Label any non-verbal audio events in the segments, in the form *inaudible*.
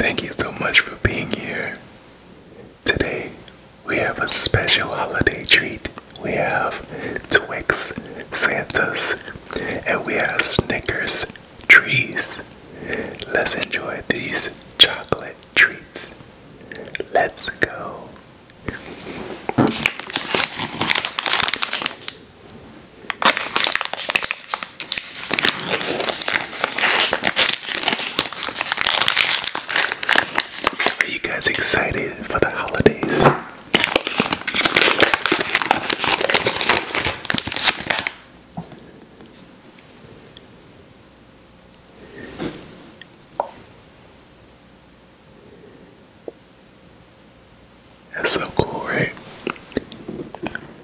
Thank you so much for being here. Today, we have a special holiday treat. We have Twix Santas and we have Snickers trees. Let's enjoy these chocolate treats. Let's go. Are you guys excited for the holidays? That's so cool, right?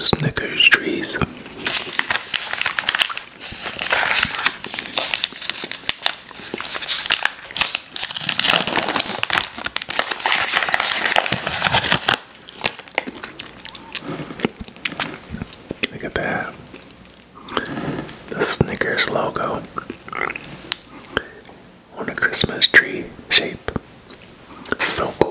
Snickers trees. Look at that. The Snickers logo on a Christmas tree shape. So cool.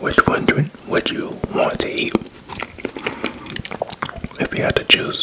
Which one do would you want to eat if you had to choose?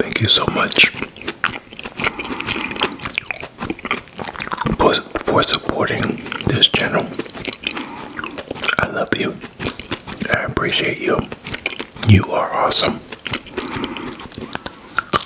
Thank you so much for supporting this channel. I love you. I appreciate you. You are awesome.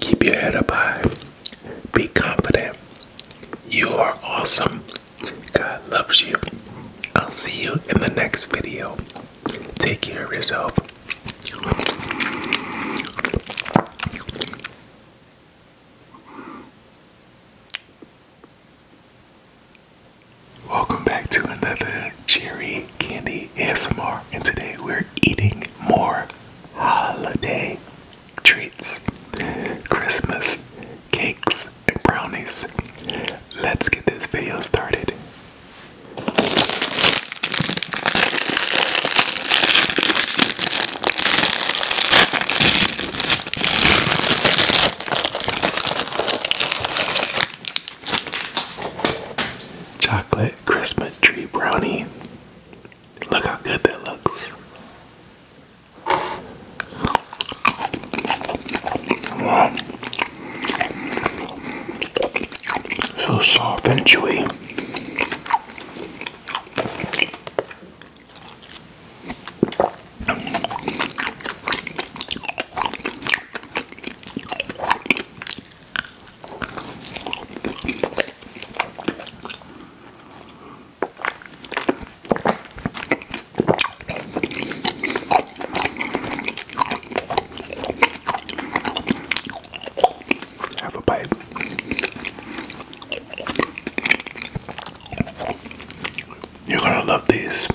Keep your head up high. Be confident. You are awesome. God loves you. I'll see you in the next video. Take care of yourself. Welcome back to another Cherry Candy ASMR, and today we're eating more holiday treats, Christmas cakes, and brownies. Let's get this video started. Chocolate Christmas tree brownie. Look how good that looks. Wow. So soft and chewy. Have a bite. You're gonna love these.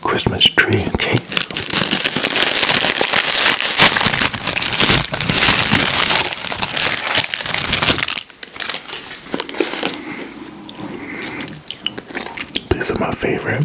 Christmas tree cake. These are my favorite.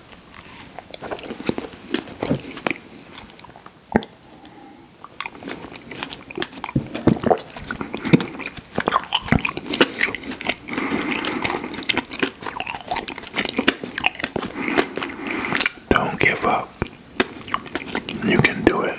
Don't give up. You can do it.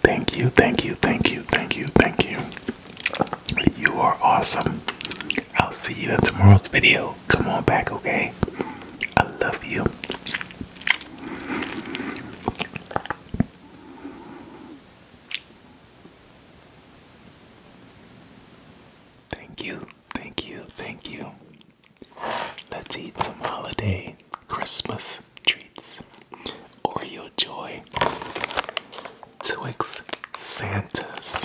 Thank you, thank you, thank you, thank you, thank you. You are awesome. I'll see you in tomorrow's video come on back, okay? I love you. Thank you, thank you, thank you. Let's eat some holiday Christmas treats. Oreo Joy. Twix Santas.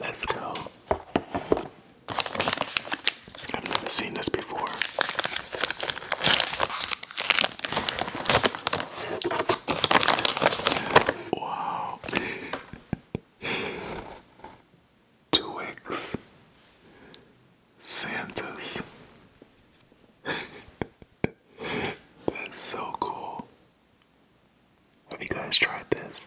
Let's go. I've never seen this before. Wow. *laughs* Two Santas. *laughs* That's so cool. Have you guys tried this?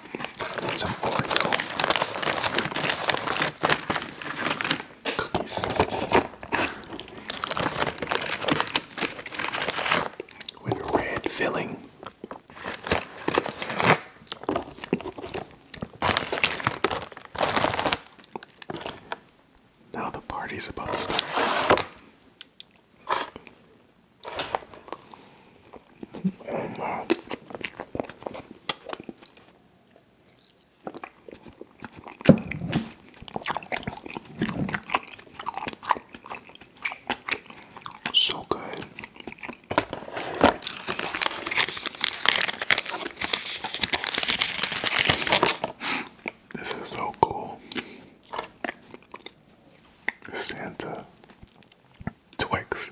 Got with a red filling. Now the party's about to start. So good. This is so cool. Santa Twix.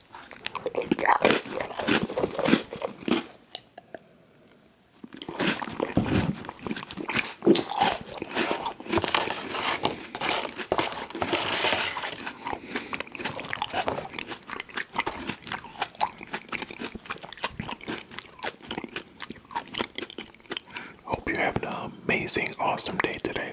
Hope you are having an amazing, awesome day today.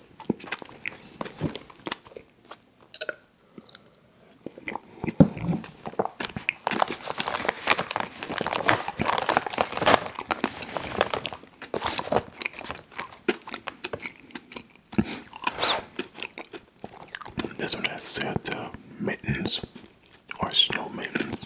This one has Santa uh, mittens or snow mittens.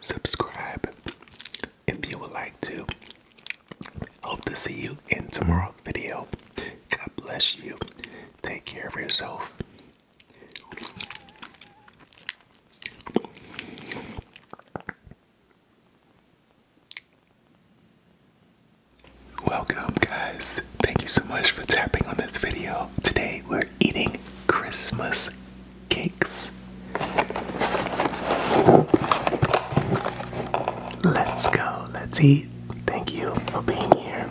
Subscribe if you would like to. Hope to see you in tomorrow's video. God bless you. Take care of yourself. Welcome, guys. Thank you so much for tapping on this video. Today, we're eating Christmas cakes. Let's go. Let's eat. Thank you for being here.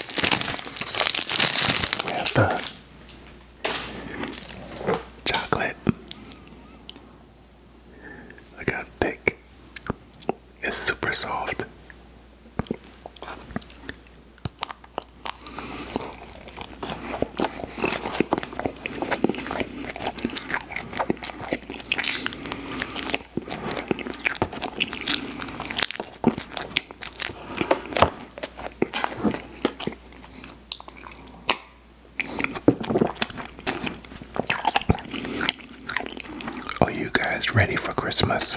We have the chocolate. Look how thick. It's super soft. Are you guys ready for Christmas?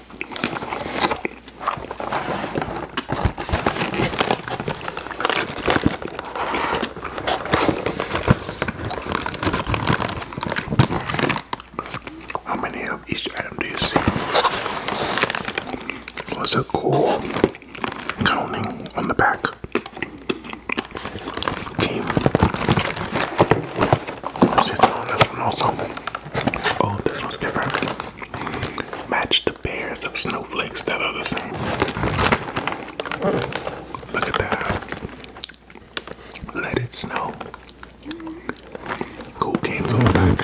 How many of each item do you see? Was a cool counting on the back. Team. Let's see, this one also. Oh, this one's different match the pairs of snowflakes that are the same. Look at that. Let it snow. Cool games all back.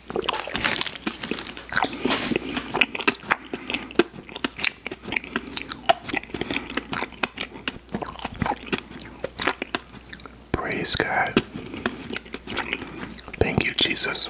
Praise God. Thank you, Jesus.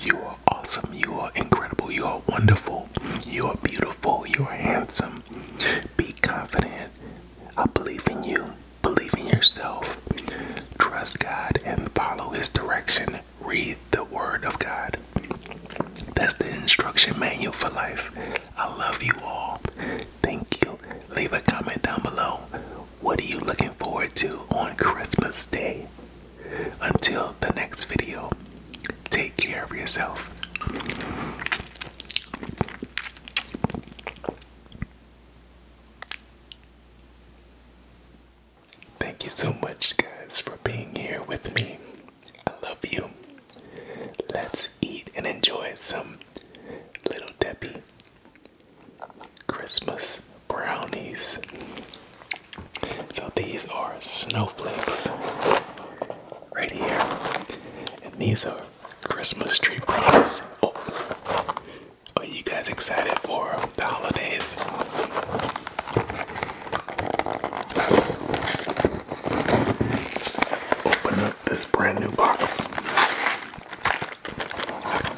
You are awesome. You are incredible. You are wonderful. You are beautiful. You are handsome. Be confident. I believe in you. Believe in yourself. Trust God and follow His direction. Read the Word of God. That's the instruction manual for life. I love you all. Thank you. Leave a comment down below. What are you looking forward to on Christmas Day? Until the next video, take care of yourself. Thank you so much, guys, for being here with me. I love you. Let's eat and enjoy some Little Debbie Christmas brownies. So these are snowflakes right here. And these are Christmas tree brownies. Oh. Are you guys excited for the holidays? open up this brand new box.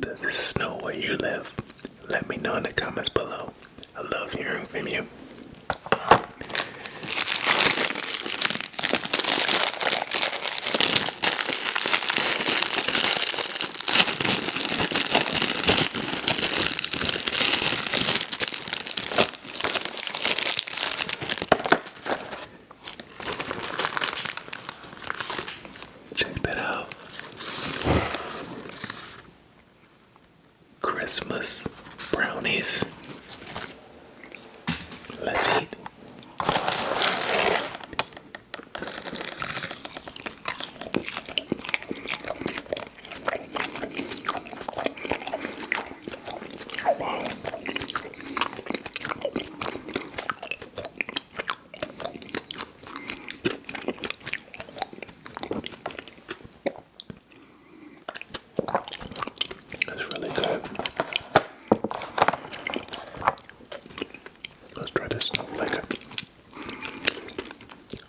Does it snow where you live? Let me know in the comments below. I love hearing from you. Check out. Christmas brownies. Let's eat. Wow. It's really good. Let's try this like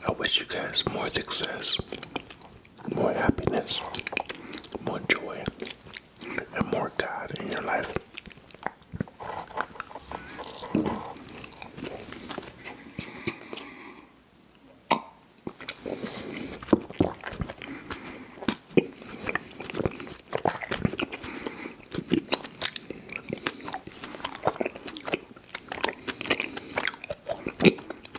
I wish you guys more success more happiness, more joy, and more God in your life.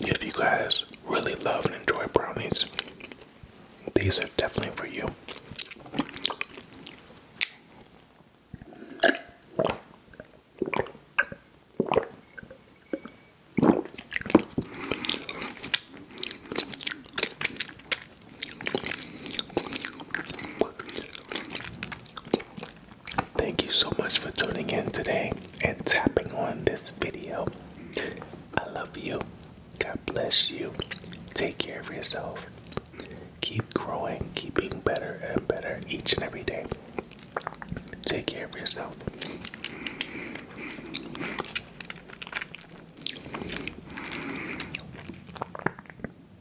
If you guys really love and enjoy brownies, these are definitely for you. Thank you so much for tuning in today and tapping on this video. I love you. God bless you. Take care of yourself. Keep growing, keep being better and better each and every day. Take care of yourself.